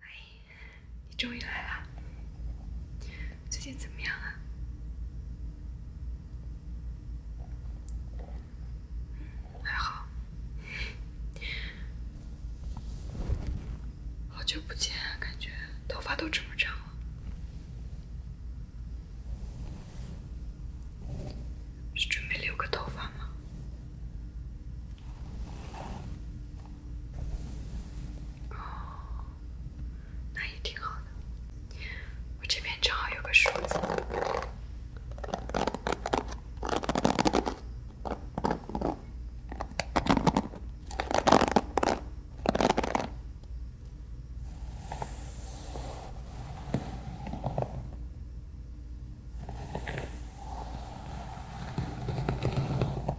哎，你终于来了，最近怎么样啊？还好。好久不见，感觉头发都这么长了，是准备留个头发吗？哦，那也挺好的。我这边正好有个梳子。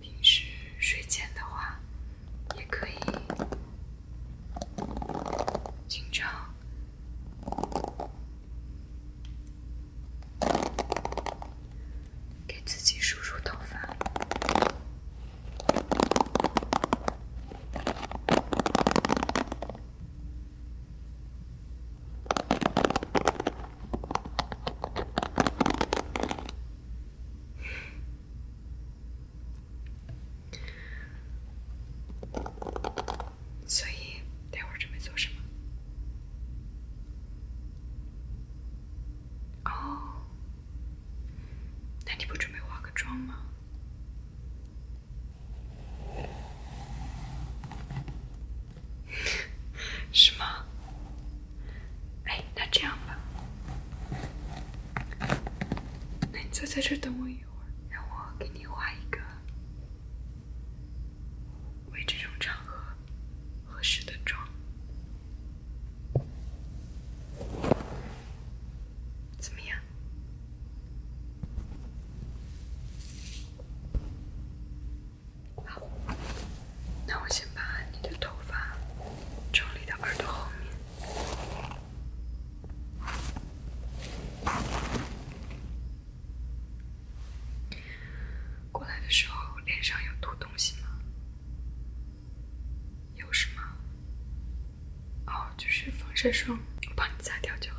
平时睡前的话，也可以经常给自己梳梳头发。所以，待会儿准备做什么？哦。那你不准备化个妆吗？是 吗？哎，那这样吧，那你再在这等我一会儿，让我给你化一个为这种场合合适的妆。怎么样？好，那我先把你的头发整理到耳朵后面。过来的时候脸上有涂东西吗？有什么？哦，就是防晒霜，我帮你擦掉就好。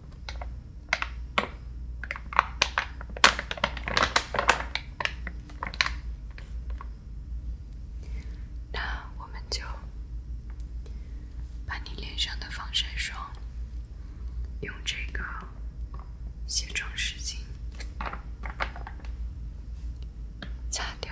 那我们就把你脸上的防晒霜用这个卸妆湿巾擦掉。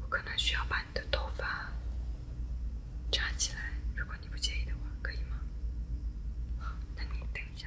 我可能需要把你的头发扎起来，如果你不介意的话，可以吗？好，那你等一下。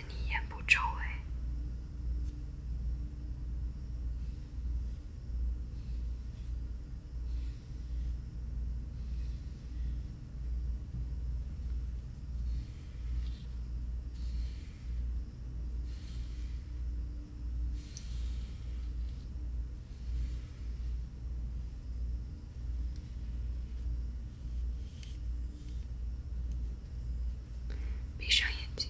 你眼部周围，闭上眼睛。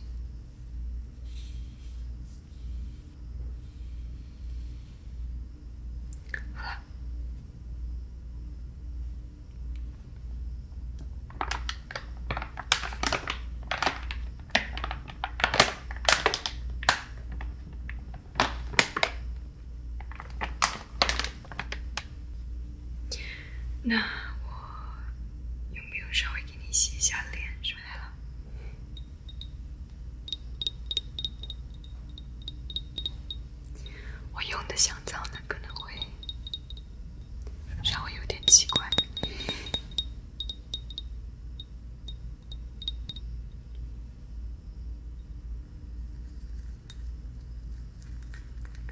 那我有没有稍微？给你洗一下脸，准备来了。我用的香皂呢，可能会让我有点奇怪。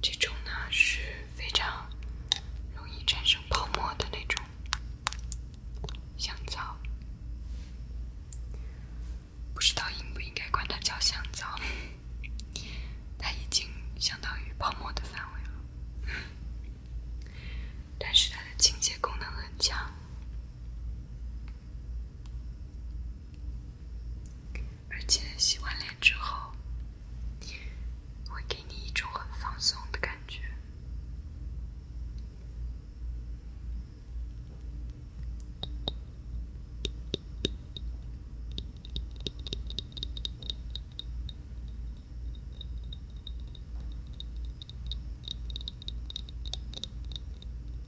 这种呢是非常容易产生泡沫的那种香皂，不知道应不应该管它叫香皂，它已经相当于泡沫的范围了，但是它的清洁功能很强。而且洗完脸之后，会给你一种很放松的感觉。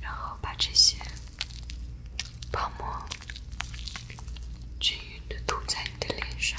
然后把这些泡沫均匀地涂在你的脸上。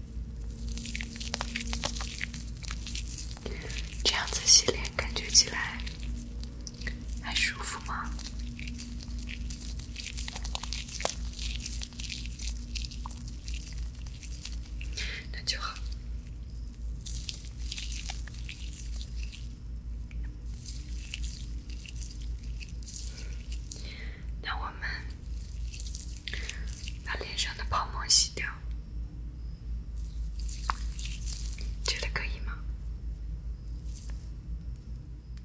这样子洗脸感觉起来还舒服吗？那就好。那我们把脸上的泡沫洗掉，觉得可以吗？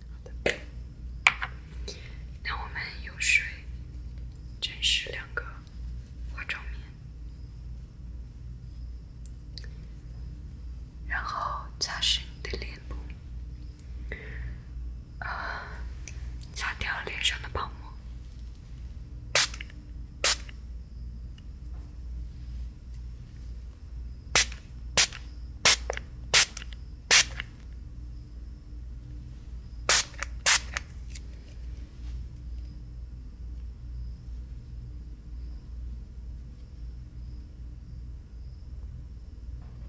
好的。那我们用水沾湿两个化妆棉，然后擦拭你的脸部。擦掉脸上的泡沫。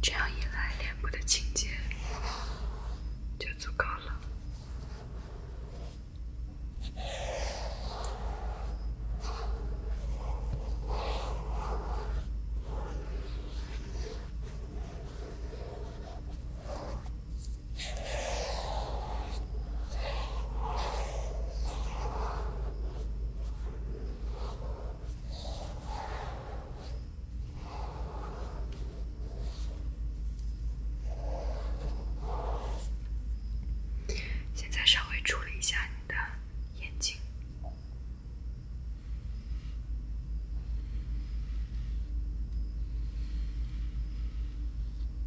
这样一来，脸部的清洁就足够了。现在稍微处理一下你的眼睛。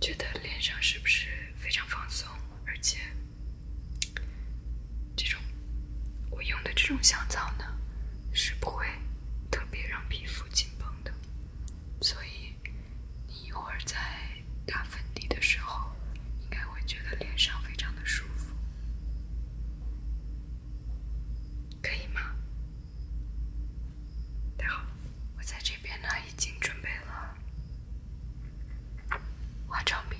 觉得脸上是不是非常放松？而且，这种我用的这种香皂呢，是不会特别让皮肤紧绷的。所以，你一会儿在打粉底的时候，应该会觉得脸上非常的舒服，可以吗？太好。了。我在这边呢，已经准备了化妆品。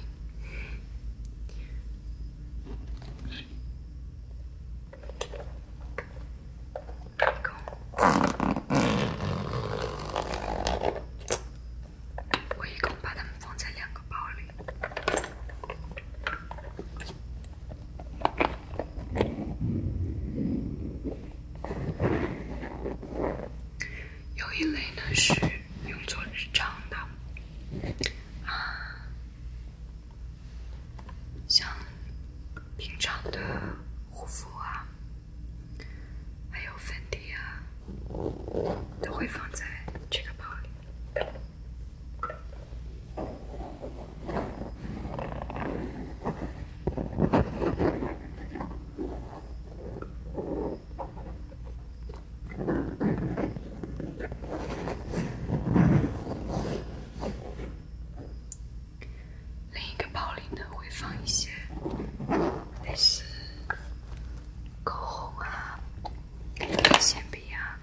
我一共把它们放在两个包里。有一类呢是用作日常的，啊，像平常的护肤啊，还有粉底啊，都会放在这个包里。另一个宝玲的会放一些，类似口红啊、铅笔啊。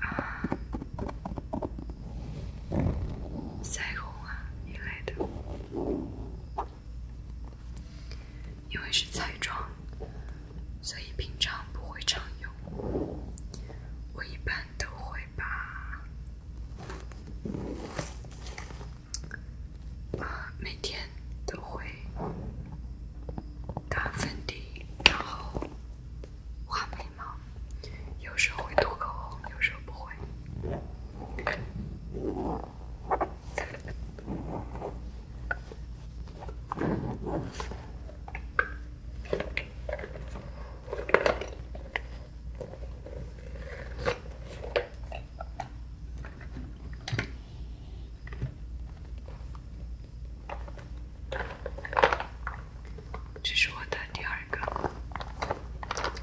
啊，腮红啊一类的，因为是彩妆，所以平常不会常用。我一般都会把，呃，每天都会打粉底，然后。画眉毛，有时候会涂口红，有时候不会。这是我的第二个，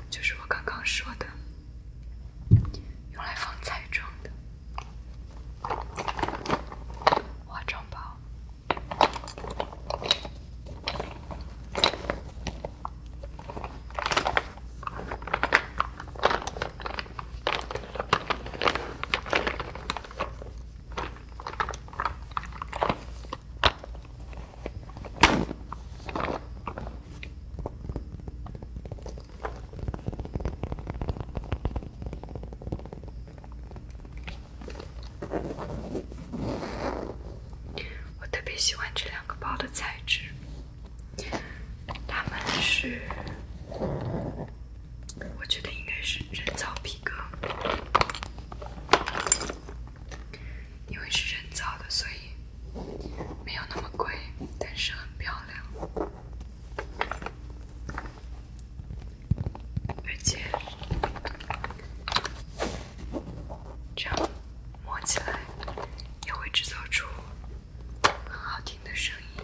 就是我刚刚说的，用来放彩妆的化妆包。我特别喜欢这两个包的材质，它们是，我觉得应该是人造皮革。因为是人造的，所以没有那么贵，但是很漂亮，而且这样摸起来也会制造出很好听的声音。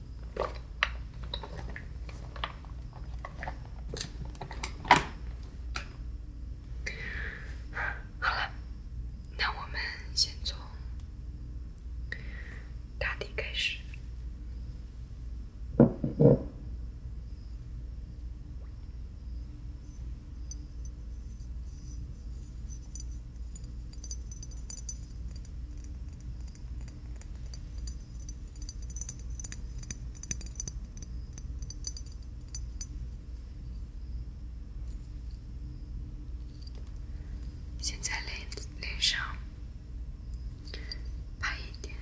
好了，那我们先从打底开始。现在脸脸上拍一点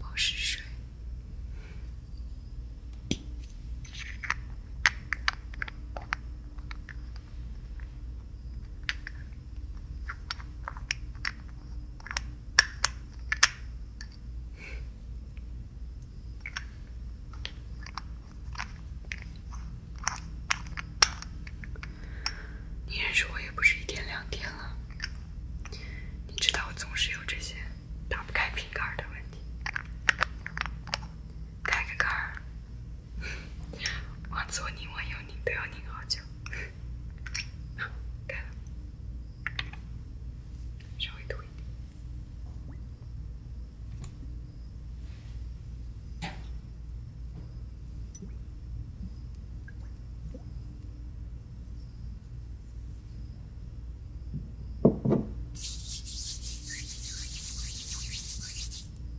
保湿水。你认识我也不是一天两天了，你知道我总是有这些打不开瓶盖的问题，开个盖儿。我左拧，我右拧，都要拧好久。开 了，稍微点。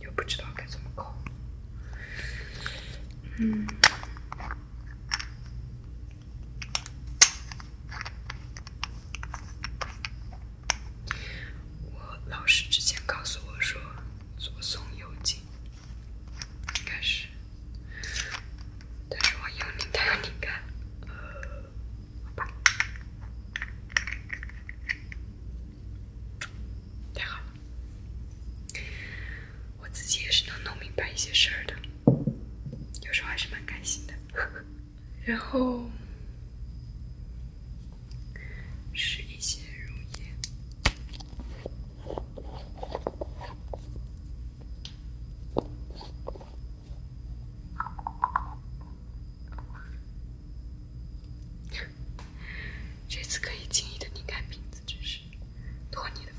又不知道该怎么考，嗯，我老师之前告诉我说，左松右紧，应该是。但是我有你，他有你，看，好吧，太好了，我自己也是能弄明白一些事儿的，有时候还是蛮开心的，然后是一些溶液。这次可以轻易的拧开瓶子，真是托你的福。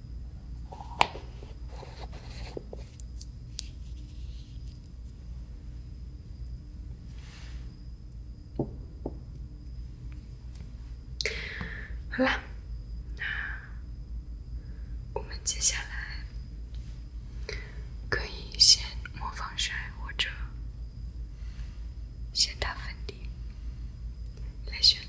好了，那我们接下来可以先抹防晒，或者先打粉底来选。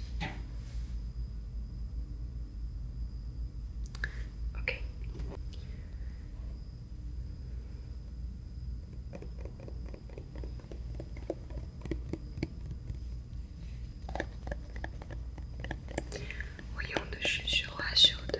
我用的是绣花绣的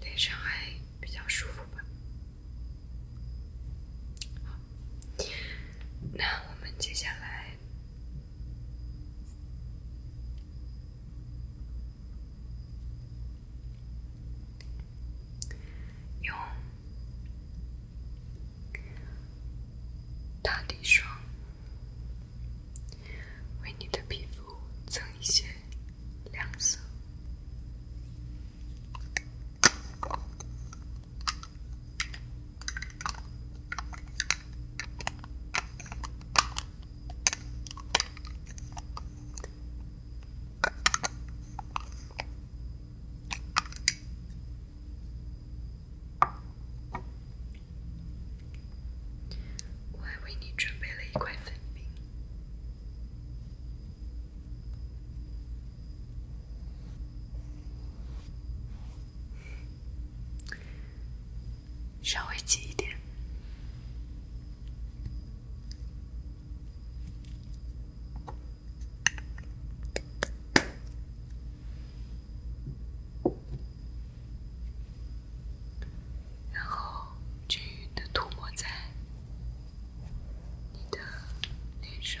脸上还比较舒服吧。好，那我们接下来用打底霜为你的皮肤增一些。我还为你准备了一块粉饼。稍微挤一点。然后均匀地涂抹在你的脸上。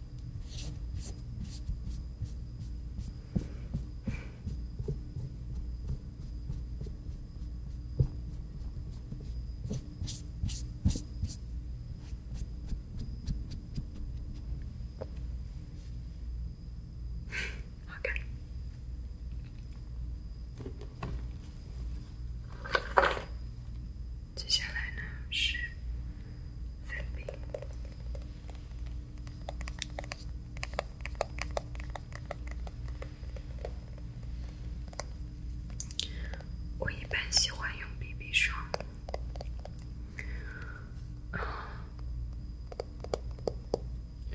好，看。接下来呢是粉饼。我一般喜欢用 BB 霜。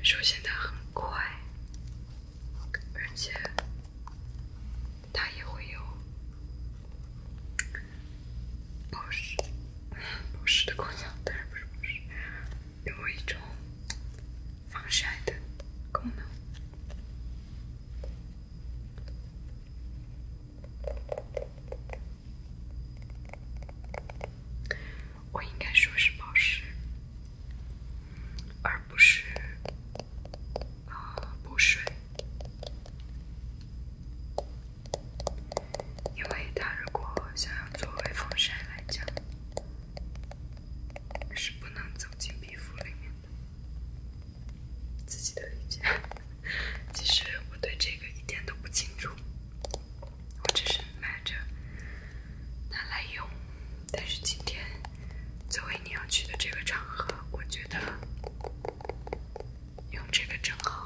首先，它很快，而且它也会有。保湿，保湿的功能当然不是保湿，有一种防晒的功能。我应该说是保湿，而不是呃补水。因为它如果想要作为防晒来讲，是不能走进皮肤里面的。自己的理解，其实我对这个一点都不清楚，我只是买着拿来用。但是今天作为你要去的这个场合，我觉得。用这个正好。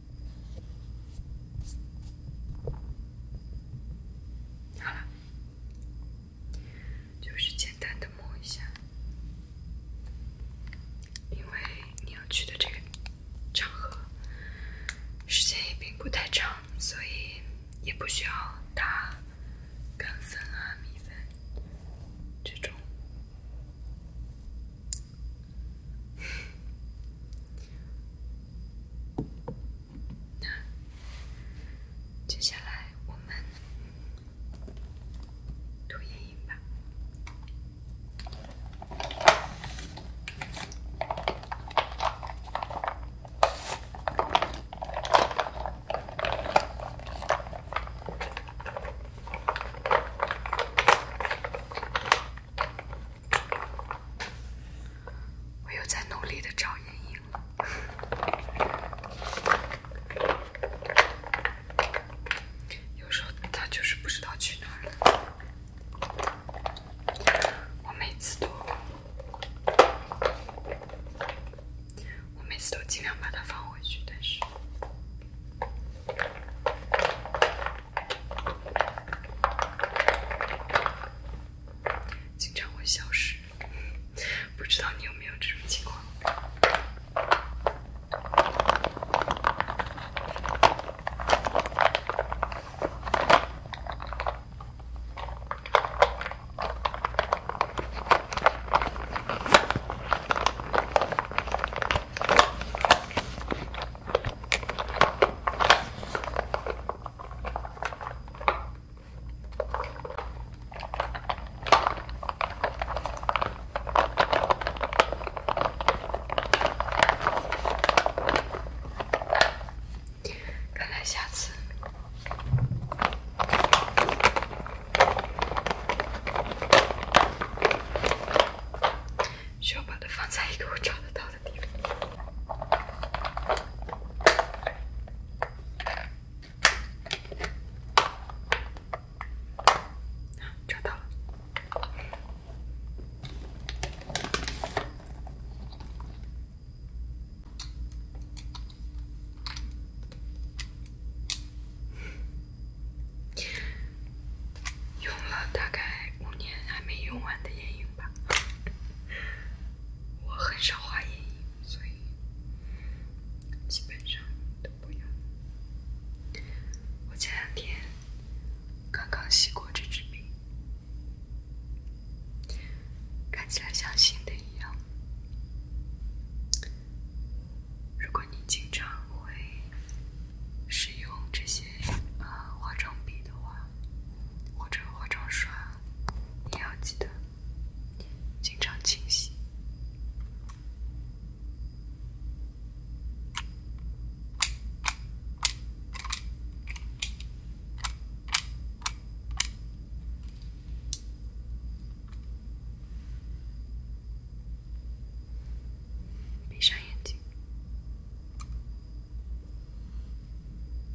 好了，就是简单的抹一下，因为你要去的这个场合，时间也并不太长，所以也不需要打干粉啊、米粉这种。那接下来我们涂眼影吧。我又在努力的找眼影，有时候它就是不知道去哪儿我每次都，我每次都尽量把它放回去，但是。经常会消失，不知道你有没有这种情况。看来下次需要把它放在一个我找得到的。找到了，用了大概五年还没用完的眼影。我很少画眼影，所以基本上都不用。我前两天刚刚洗过这支笔，看起来像新的一样。如果你经常会使用这些，呃，化妆笔的话，或者化妆刷，你要记得经常清洗。闭上眼睛。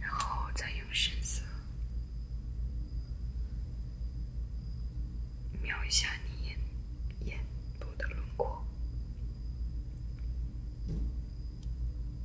然后再用深色描一下你眼眼部的轮廓。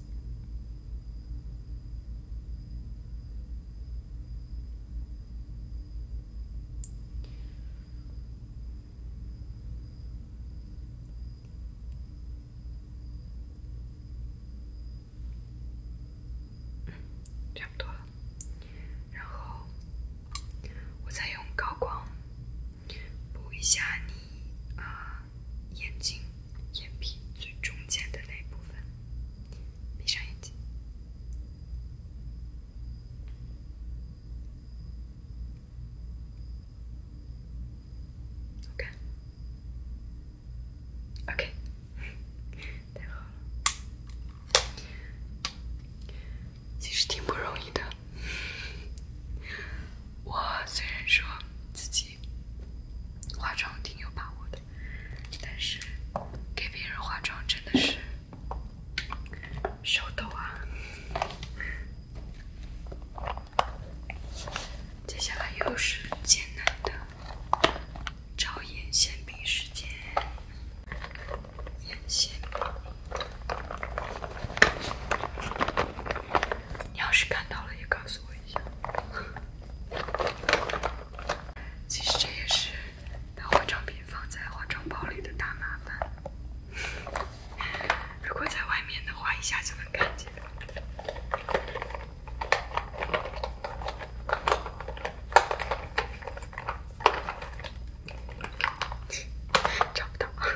嗯，差不多了。然后，我再用高光。补一下你啊，眼睛眼皮最中间的那部分，闭上眼睛，o k 其实挺不容易的。我虽然说自己化妆挺有把握的，但是给别人化妆真的是手抖啊！接下来又是艰难的眼线笔时间，眼线笔。你要是看到了，也告诉我一下。其实这也是把化妆品放在化妆包里的大麻烦。如果在外面的话，一下就能看见。找不到。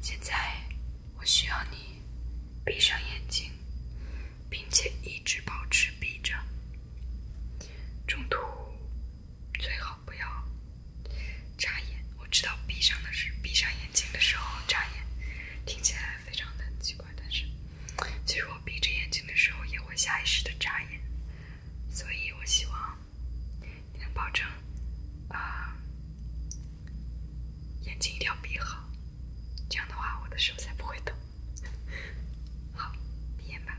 现在，我需要你闭上眼睛，并且一直保持闭着，中途最好不要眨眼。我知道闭上的是闭上眼睛的时候眨眼，听起来非常的奇怪，但是其实我闭着眼睛的时候也会下意识的眨眼，所以我希望你能保证，啊，眼睛一定要闭好，这样的话我的手才不会抖。好，闭眼吧。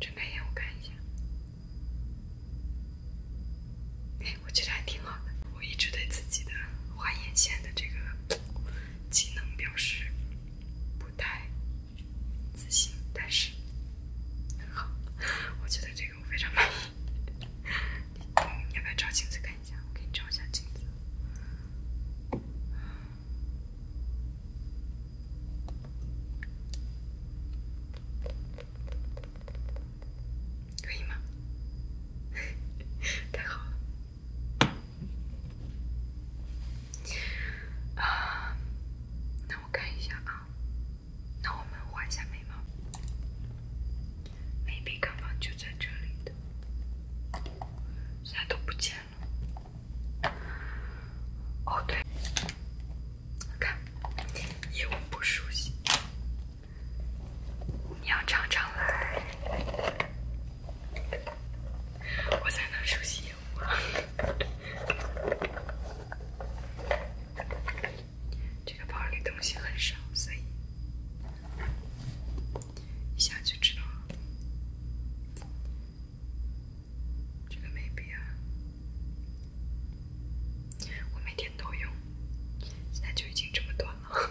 睁开眼，我看一下。哎，我觉得还挺好的。我一直对自己的画眼线的这个。技能表示不太自信，但是很好，我觉得这个我非常满意。你要不要照镜子看一下？我给你照一下镜子，可以吗？太好了。啊，那我看一下啊，那我们画一下眉毛，眉笔刚刚就在这里的，现在都不见了。哦对，看，业务不熟悉，你要常常来。我在那熟悉业务息。这个包里东西很少，所以一下就知道。了。这个眉笔，我每天都用，现在就已经这么短了。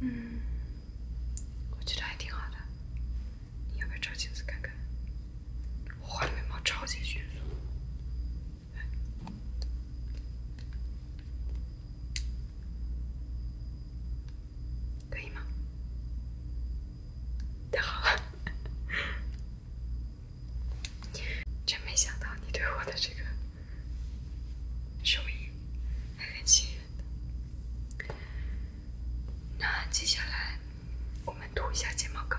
嗯，我觉得还挺好的。你要不要照镜子看看？我画的眉毛超级迅速，可以吗？太好了，真没想到你对我的这个手艺还很信任。那接下来，我们涂一下睫毛膏。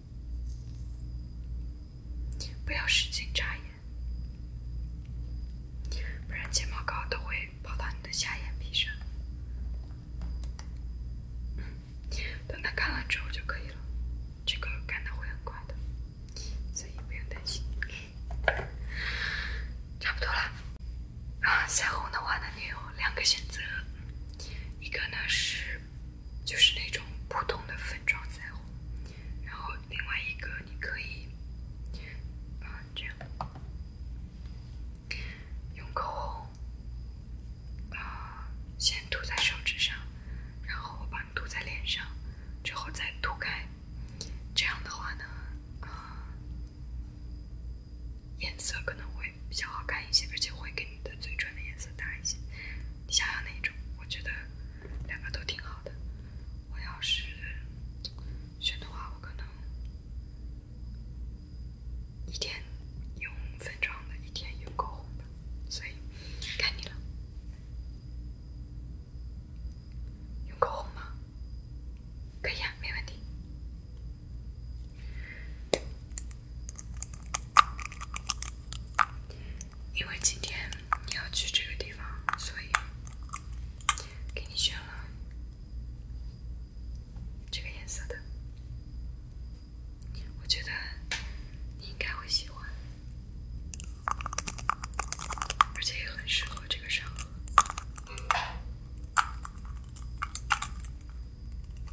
不要使劲眨眼，不然睫毛膏都会跑到你的下眼皮上。等它干了之后就可以了，这个干的会很快的，所以不用担心。差不多了，啊，腮红的话呢，你有两个选择，一个呢是。就是那种普通的粉状腮红，然后另外一个你可以，啊，这样，用口红，啊，先涂在手指上，然后我帮你涂在脸上，之后再涂开，这样的话呢，啊，颜色可能会比较好看一些，而且会跟你的嘴唇的颜色搭一些。你想要哪一种？我觉得两个都挺好的。我要是选的话，我可能一天用粉状的，一天用口红的。所以，看你了。用口红吗？可以啊，没问题。因为今天你要去这个地方，所以给你选了这个颜色的。我觉得你应该会喜欢，而且也很适合这个场合。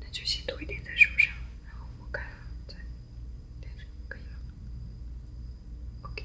那就先涂一点在手上，然后抹开，再点上就可以了。OK。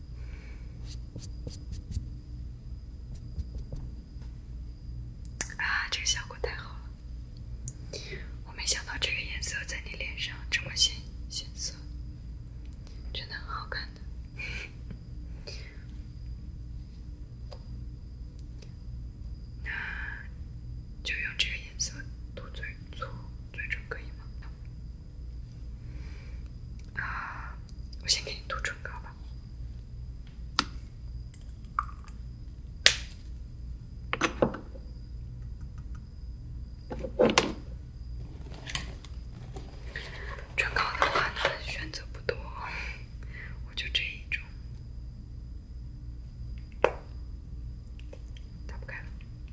啊，这个效果太好了！我没想到这个颜色在你脸上这么显色，真的很好看的。那就用这个颜色涂嘴涂嘴唇可以吗？啊，我先给你涂唇膏吧。唇膏的话呢，选择不多，我就这一种。打不开。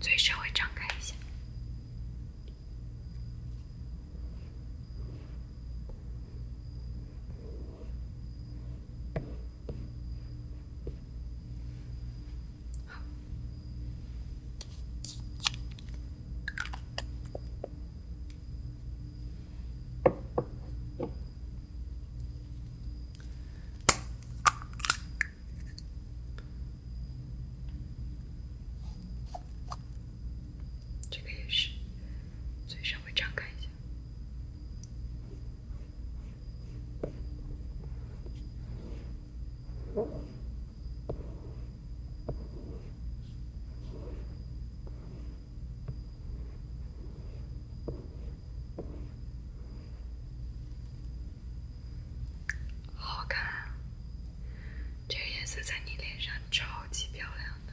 嘴稍微张开一下。好。这个也是，嘴稍微张开一下。好看，这个颜色在你脸上超级漂亮的。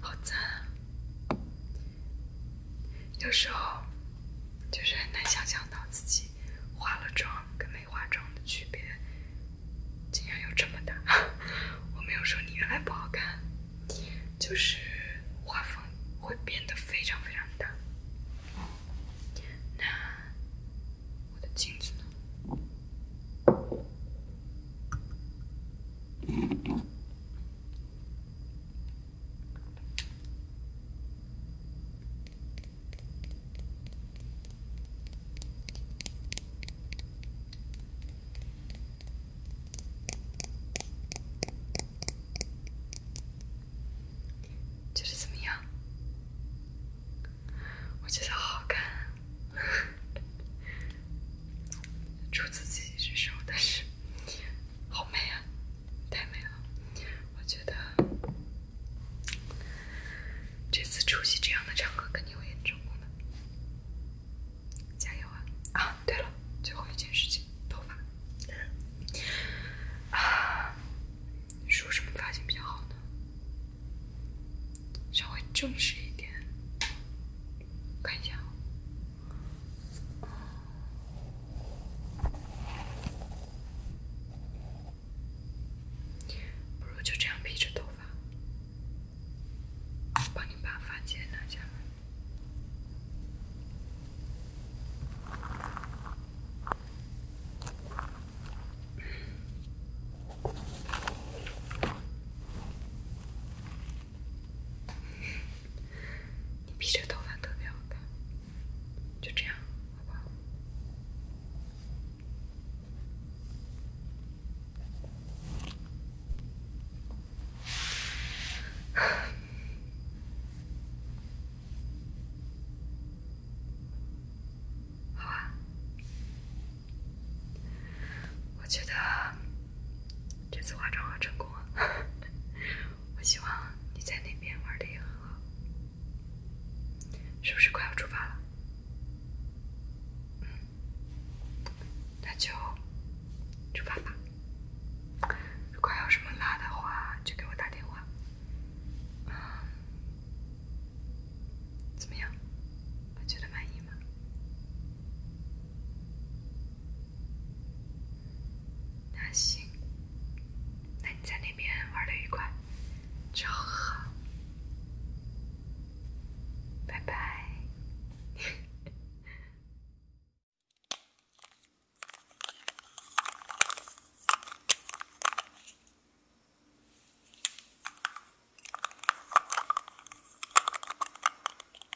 好赞！有时候就是很难想象到自己化了妆跟没化妆的区别，竟然有这么大。我没有说你原来不好看，就是画风会变得非常非常大。那我的镜子呢？就是怎么样？我觉得好看。初 次自己这首，但是好美啊，太美了！我觉得这次出席这样的场合肯定会很成功的，加油啊！啊，对了，最后一件事情，头发。梳什么发型比较好呢？稍微正式一点，看一下。不如就这样披着头发，帮你把发结拿下。你披着头发特别好看，就这样，好不好？好啊，我觉得。这次化妆好成功啊！我希望你在那边玩的也很好，是不是快要出发了？嗯，那就出发吧。如果有什么辣的话，就给我打电话。啊，怎么样？觉得满意吗？那行，那你在那边玩的愉快，就好，拜拜。